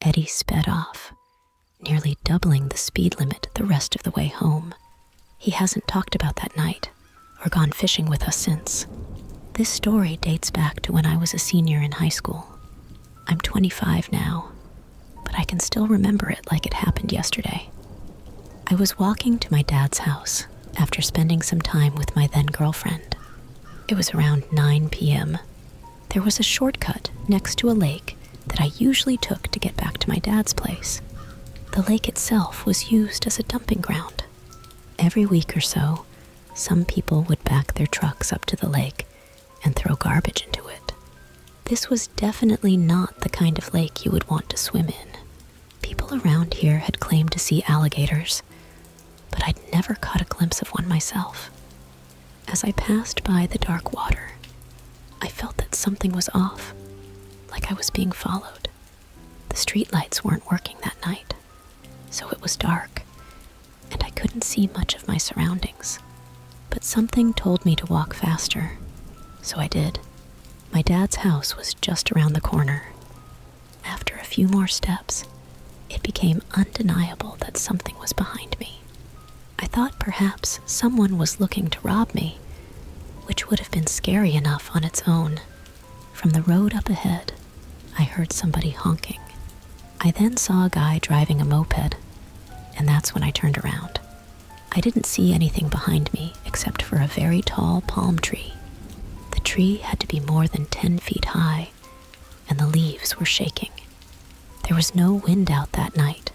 Eddie sped off, nearly doubling the speed limit the rest of the way home. He hasn't talked about that night or gone fishing with us since. This story dates back to when I was a senior in high school. I'm 25 now, but I can still remember it like it happened yesterday. I was walking to my dad's house after spending some time with my then girlfriend. It was around 9 p.m., there was a shortcut next to a lake that I usually took to get back to my dad's place. The lake itself was used as a dumping ground. Every week or so, some people would back their trucks up to the lake and throw garbage into it. This was definitely not the kind of lake you would want to swim in. People around here had claimed to see alligators, but I'd never caught a glimpse of one myself. As I passed by the dark water, I felt that something was off, like I was being followed. The streetlights weren't working that night, so it was dark, and I couldn't see much of my surroundings. But something told me to walk faster, so I did. My dad's house was just around the corner. After a few more steps, it became undeniable that something was behind me. I thought perhaps someone was looking to rob me, which would have been scary enough on its own. From the road up ahead, I heard somebody honking. I then saw a guy driving a moped, and that's when I turned around. I didn't see anything behind me except for a very tall palm tree. The tree had to be more than 10 feet high and the leaves were shaking. There was no wind out that night,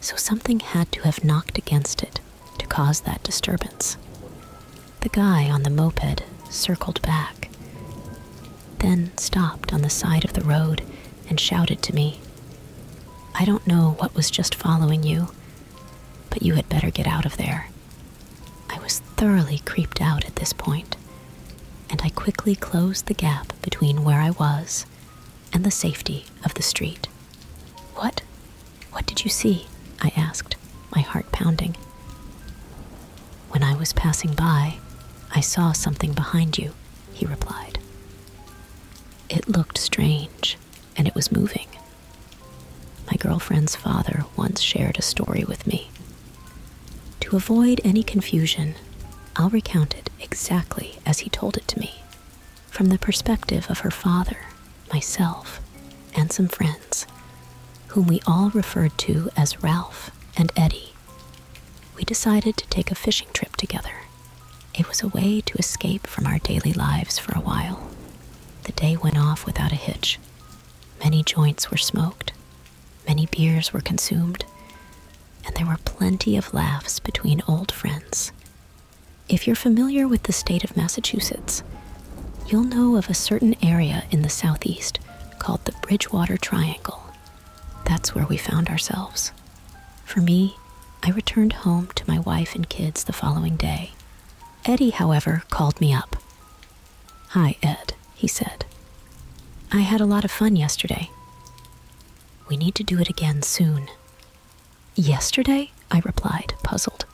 so something had to have knocked against it to cause that disturbance. The guy on the moped circled back, then stopped on the side of the road and shouted to me, I don't know what was just following you, but you had better get out of there. I was thoroughly creeped out at this point, and I quickly closed the gap between where I was and the safety of the street. What? What did you see? I asked, my heart pounding. When I was passing by, I saw something behind you, he replied. It looked strange, and it was moving. My girlfriend's father once shared a story with me to avoid any confusion, I'll recount it exactly as he told it to me, from the perspective of her father, myself, and some friends, whom we all referred to as Ralph and Eddie. We decided to take a fishing trip together. It was a way to escape from our daily lives for a while. The day went off without a hitch. Many joints were smoked, Many beers were consumed, and there were plenty of laughs between old friends. If you're familiar with the state of Massachusetts, you'll know of a certain area in the southeast called the Bridgewater Triangle. That's where we found ourselves. For me, I returned home to my wife and kids the following day. Eddie, however, called me up. Hi, Ed, he said. I had a lot of fun yesterday. We need to do it again soon. Yesterday? I replied, puzzled.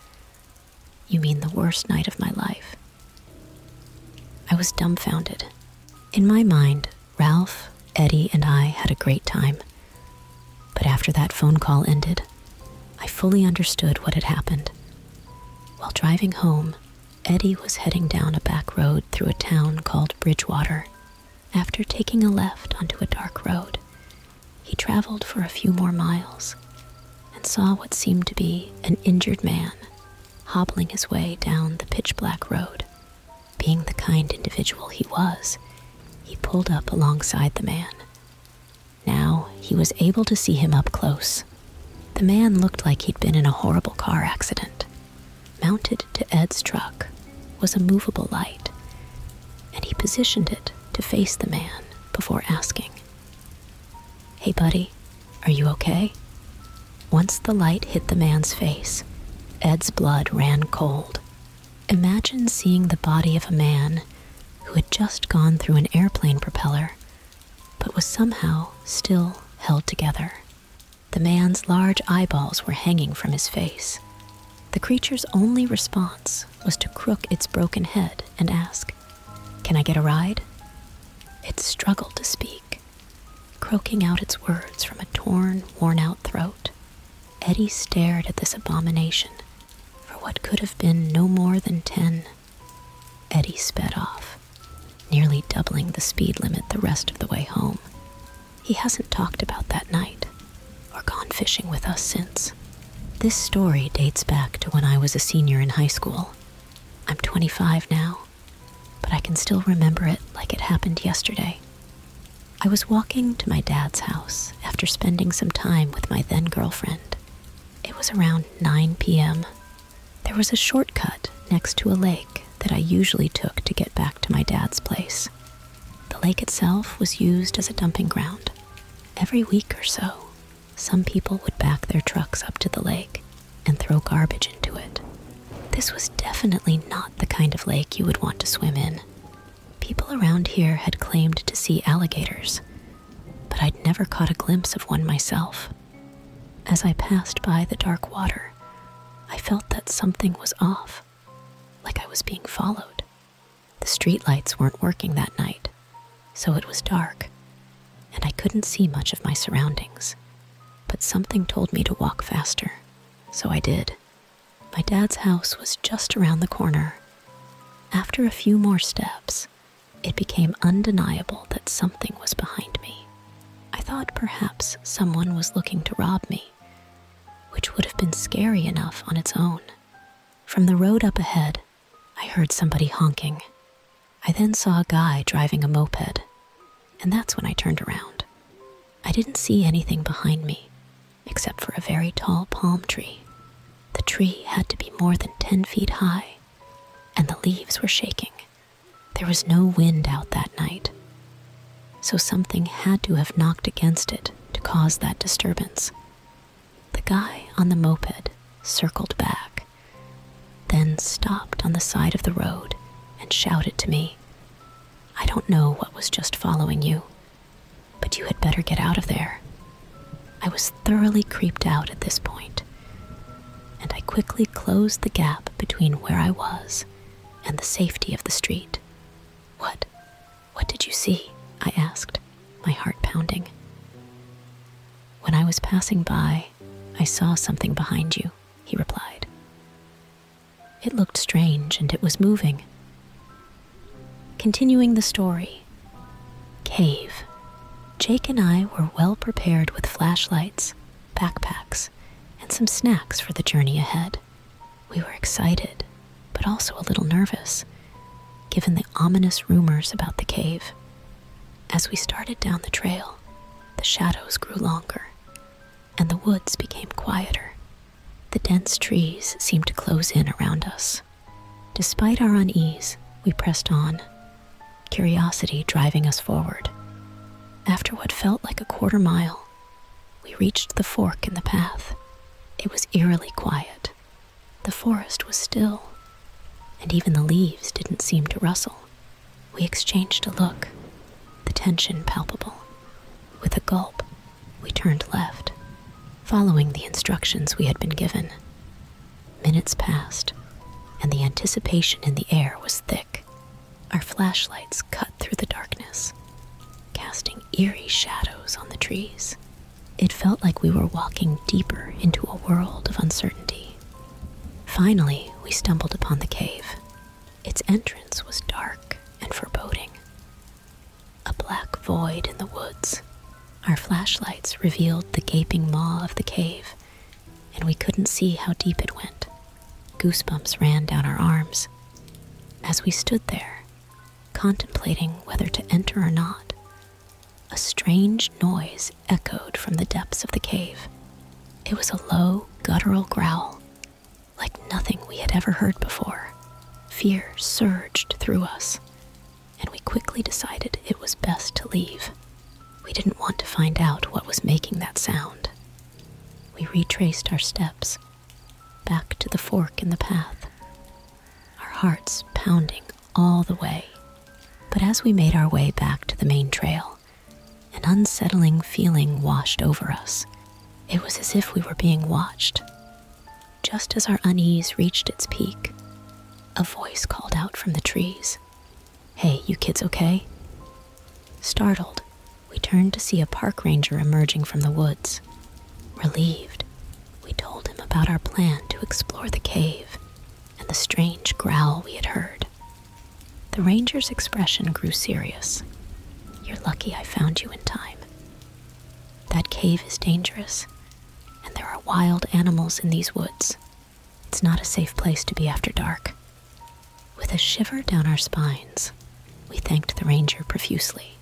You mean the worst night of my life? I was dumbfounded. In my mind, Ralph, Eddie, and I had a great time. But after that phone call ended, I fully understood what had happened. While driving home, Eddie was heading down a back road through a town called Bridgewater. After taking a left onto a dark road, he traveled for a few more miles and saw what seemed to be an injured man hobbling his way down the pitch black road. Being the kind individual he was, he pulled up alongside the man. Now he was able to see him up close. The man looked like he'd been in a horrible car accident. Mounted to Ed's truck was a movable light, and he positioned it to face the man before asking, Hey, buddy, are you okay? Once the light hit the man's face, Ed's blood ran cold. Imagine seeing the body of a man who had just gone through an airplane propeller but was somehow still held together. The man's large eyeballs were hanging from his face. The creature's only response was to crook its broken head and ask, Can I get a ride? It struggled to speak, croaking out its words from a torn, worn out throat. Eddie stared at this abomination for what could have been no more than ten Eddie sped off, nearly doubling the speed limit the rest of the way home. He hasn't talked about that night or gone fishing with us since. This story dates back to when I was a senior in high school. I'm 25 now, but I can still remember it like it happened yesterday. I was walking to my dad's house after spending some time with my then girlfriend. It was around 9 p.m. There was a shortcut next to a lake that I usually took to get back to my dad's place. The lake itself was used as a dumping ground. Every week or so, some people would back their trucks up to the lake and throw garbage into it. This was definitely not the kind of lake you would want to swim in. People around here had claimed to see alligators, but I'd never caught a glimpse of one myself. As I passed by the dark water, I felt that something was off, like I was being followed. The streetlights weren't working that night, so it was dark, and I couldn't see much of my surroundings. But something told me to walk faster, so I did. My dad's house was just around the corner, after a few more steps, it became undeniable that something was behind me. I thought perhaps someone was looking to rob me, which would have been scary enough on its own. From the road up ahead, I heard somebody honking. I then saw a guy driving a moped, and that's when I turned around. I didn't see anything behind me, except for a very tall palm tree. The tree had to be more than ten feet high, and the leaves were shaking. There was no wind out that night, so something had to have knocked against it to cause that disturbance. The guy on the moped circled back, then stopped on the side of the road and shouted to me, I don't know what was just following you, but you had better get out of there. I was thoroughly creeped out at this point, and I quickly closed the gap between where I was and the safety of the street. What? What did you see? I asked, my heart pounding. When I was passing by, I saw something behind you, he replied. It looked strange and it was moving. Continuing the story Cave. Jake and I were well prepared with flashlights, backpacks, and some snacks for the journey ahead. We were excited, but also a little nervous, given the ominous rumors about the cave. As we started down the trail, the shadows grew longer, and the woods became quieter. The dense trees seemed to close in around us. Despite our unease, we pressed on, curiosity driving us forward. After what felt like a quarter mile, we reached the fork in the path. It was eerily quiet. The forest was still, and even the leaves didn't seem to rustle. We exchanged a look, the tension palpable. With a gulp, we turned left, following the instructions we had been given. Minutes passed, and the anticipation in the air was thick. Our flashlights cut through the darkness, casting eerie shadows on the trees. It felt like we were walking deeper into a world of uncertainty. Finally, we stumbled upon the cave. Its entrance was dark and foreboding, a black void in the woods. Our flashlights revealed the gaping maw of the cave, and we couldn't see how deep it went. Goosebumps ran down our arms. As we stood there, contemplating whether to enter or not, a strange noise echoed from the depths of the cave. It was a low, guttural growl like nothing we had ever heard before, fear surged through us, and we quickly decided it was best to leave. We didn't want to find out what was making that sound. We retraced our steps back to the fork in the path, our hearts pounding all the way. But as we made our way back to the main trail, an unsettling feeling washed over us. It was as if we were being watched. Just as our unease reached its peak, a voice called out from the trees Hey, you kids okay? Startled, we turned to see a park ranger emerging from the woods. Relieved, we told him about our plan to explore the cave and the strange growl we had heard. The ranger's expression grew serious you're lucky I found you in time. That cave is dangerous, and there are wild animals in these woods. It's not a safe place to be after dark. With a shiver down our spines, we thanked the ranger profusely.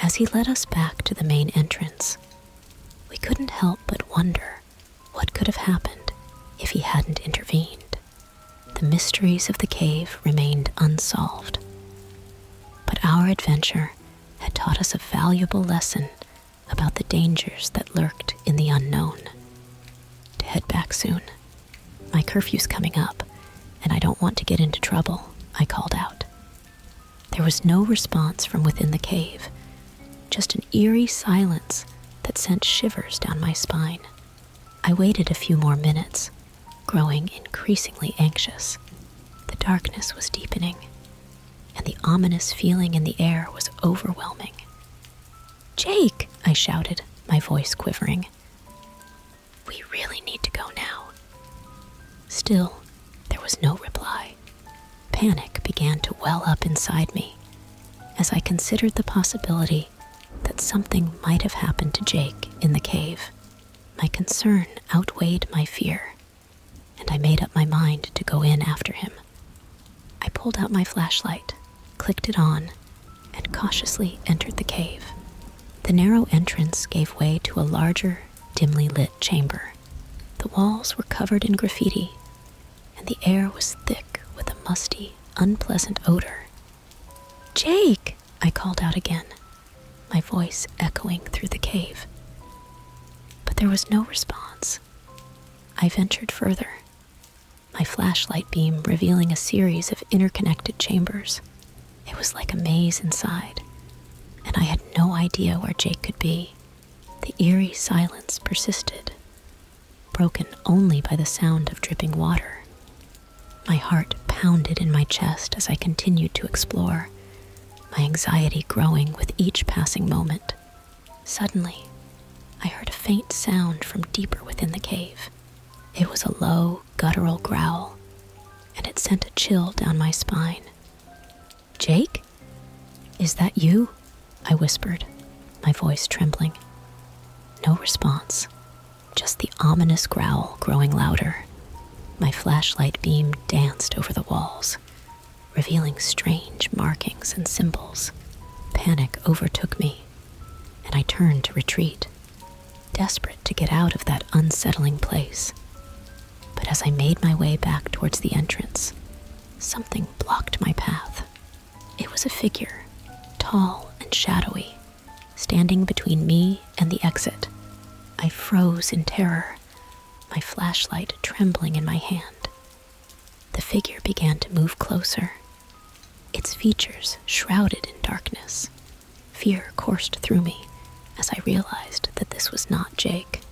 As he led us back to the main entrance, we couldn't help but wonder what could have happened if he hadn't intervened the mysteries of the cave remained unsolved. But our adventure had taught us a valuable lesson about the dangers that lurked in the unknown. To head back soon. My curfew's coming up, and I don't want to get into trouble, I called out. There was no response from within the cave, just an eerie silence that sent shivers down my spine. I waited a few more minutes, growing increasingly anxious. The darkness was deepening, and the ominous feeling in the air was overwhelming. Jake, I shouted, my voice quivering. We really need to go now. Still, there was no reply. Panic began to well up inside me as I considered the possibility that something might have happened to Jake in the cave. My concern outweighed my fear, and I made up my mind to go in after him. I pulled out my flashlight, clicked it on, and cautiously entered the cave. The narrow entrance gave way to a larger, dimly lit chamber. The walls were covered in graffiti, and the air was thick with a musty, unpleasant odor Jake, I called out again, my voice echoing through the cave. But there was no response. I ventured further, my flashlight beam revealing a series of interconnected chambers. It was like a maze inside, and I had no idea where Jake could be. The eerie silence persisted, broken only by the sound of dripping water. My heart pounded in my chest as I continued to explore, my anxiety growing with each passing moment. Suddenly, I heard a faint sound from deeper within the cave. It was a low, guttural growl, and it sent a chill down my spine. Jake? Is that you? I whispered, my voice trembling. No response, just the ominous growl growing louder. My flashlight beam danced over the walls, revealing strange markings and symbols. Panic overtook me, and I turned to retreat, desperate to get out of that unsettling place. But as I made my way back towards the entrance, something blocked my path. It was a figure, tall and shadowy, standing between me and the exit. I froze in terror, my flashlight trembling in my hand. The figure began to move closer, its features shrouded in darkness. Fear coursed through me as I realized that this was not Jake.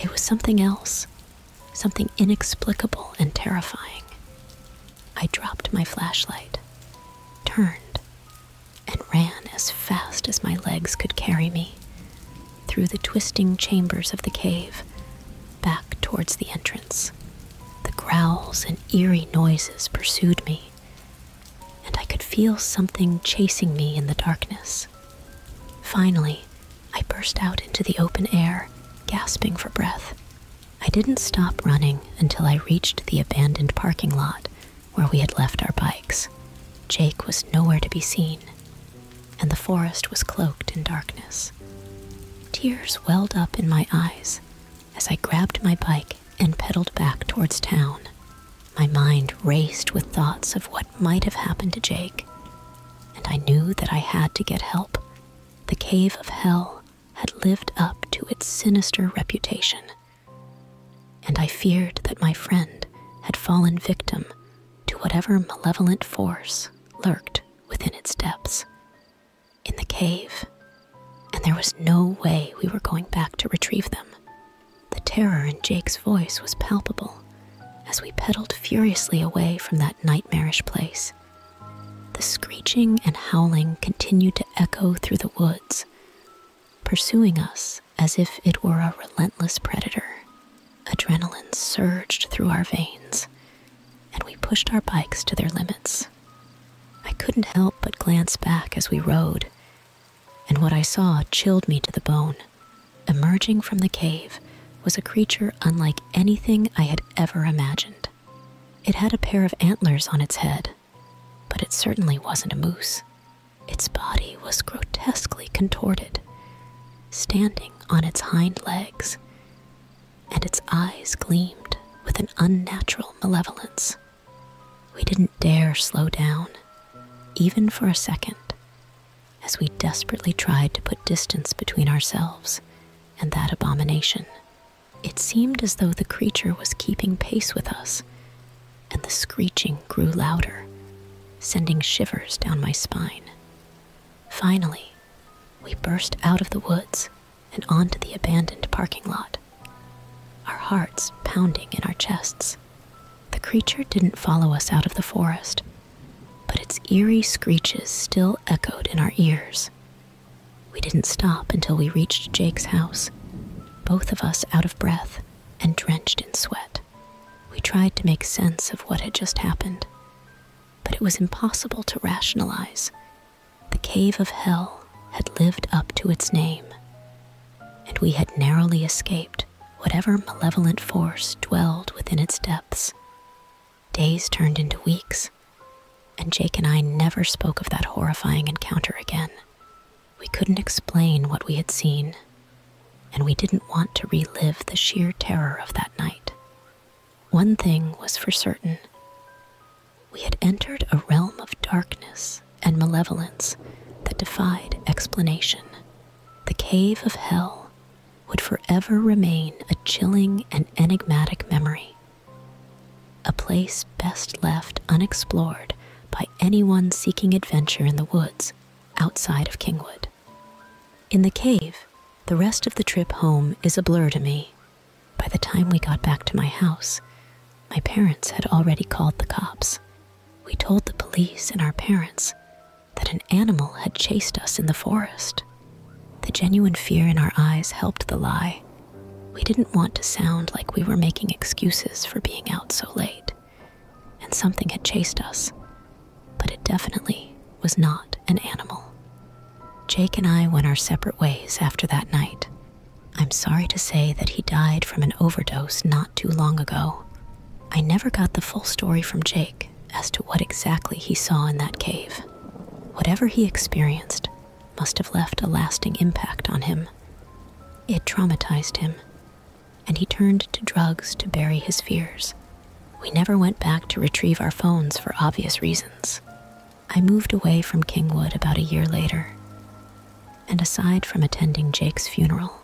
It was something else, something inexplicable and terrifying. I dropped my flashlight, turned, and ran as fast as my legs could carry me through the twisting chambers of the cave, back towards the entrance. The growls and eerie noises pursued me, and I could feel something chasing me in the darkness. Finally, I burst out into the open air, gasping for breath. I didn't stop running until I reached the abandoned parking lot where we had left our bikes. Jake was nowhere to be seen, and the forest was cloaked in darkness. Tears welled up in my eyes as I grabbed my bike and pedaled back towards town. My mind raced with thoughts of what might have happened to Jake, and I knew that I had to get help the cave of hell had lived up to its sinister reputation, and I feared that my friend had fallen victim to whatever malevolent force lurked within its depths. In the cave, and there was no way we were going back to retrieve them. The terror in Jake's voice was palpable as we pedaled furiously away from that nightmarish place. The screeching and howling continued to echo through the woods, pursuing us as if it were a relentless predator. Adrenaline surged through our veins, and we pushed our bikes to their limits. I couldn't help but glance back as we rode, and what I saw chilled me to the bone. Emerging from the cave was a creature unlike anything I had ever imagined. It had a pair of antlers on its head, but it certainly wasn't a moose. Its body was grotesquely contorted, standing on its hind legs, and its eyes gleamed with an unnatural malevolence. We didn't dare slow down, even for a second, as we desperately tried to put distance between ourselves and that abomination. It seemed as though the creature was keeping pace with us, and the screeching grew louder, sending shivers down my spine. Finally, we burst out of the woods and onto the abandoned parking lot, our hearts pounding in our chests. The creature didn't follow us out of the forest, but its eerie screeches still echoed in our ears. We didn't stop until we reached Jake's house, both of us out of breath and drenched in sweat. We tried to make sense of what had just happened, but it was impossible to rationalize. The cave of hell had lived up to its name, and we had narrowly escaped whatever malevolent force dwelled within its depths. Days turned into weeks, and Jake and I never spoke of that horrifying encounter again. We couldn't explain what we had seen, and we didn't want to relive the sheer terror of that night. One thing was for certain we had entered a realm of darkness and malevolence that defied explanation. The cave of hell would forever remain a chilling and enigmatic memory, a place best left unexplored by anyone seeking adventure in the woods outside of Kingwood. In the cave, the rest of the trip home is a blur to me. By the time we got back to my house, my parents had already called the cops. We told the police and our parents, that an animal had chased us in the forest. The genuine fear in our eyes helped the lie. We didn't want to sound like we were making excuses for being out so late, and something had chased us, but it definitely was not an animal. Jake and I went our separate ways after that night. I'm sorry to say that he died from an overdose not too long ago, I never got the full story from Jake as to what exactly he saw in that cave. Whatever he experienced must have left a lasting impact on him. It traumatized him, and he turned to drugs to bury his fears. We never went back to retrieve our phones for obvious reasons. I moved away from Kingwood about a year later, and aside from attending Jake's funeral,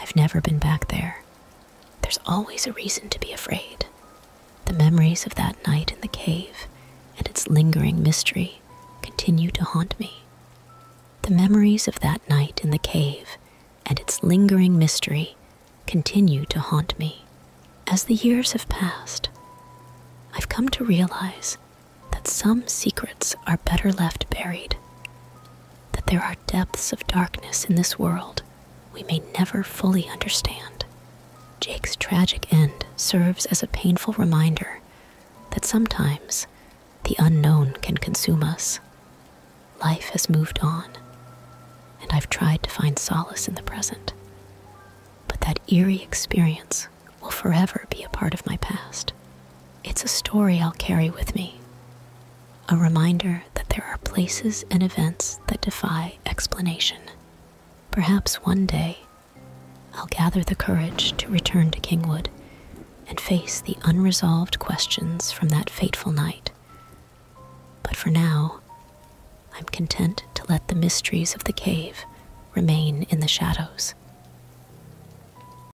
I've never been back there. There's always a reason to be afraid. The memories of that night in the cave and its lingering mystery continue to haunt me. The memories of that night in the cave and its lingering mystery continue to haunt me. As the years have passed, I've come to realize that some secrets are better left buried that there are depths of darkness in this world we may never fully understand. Jake's tragic end serves as a painful reminder that sometimes the unknown can consume us. Life has moved on, and I've tried to find solace in the present. But that eerie experience will forever be a part of my past. It's a story I'll carry with me, a reminder that there are places and events that defy explanation. Perhaps one day I'll gather the courage to return to Kingwood and face the unresolved questions from that fateful night. But for now, I'm content to let the mysteries of the cave remain in the shadows.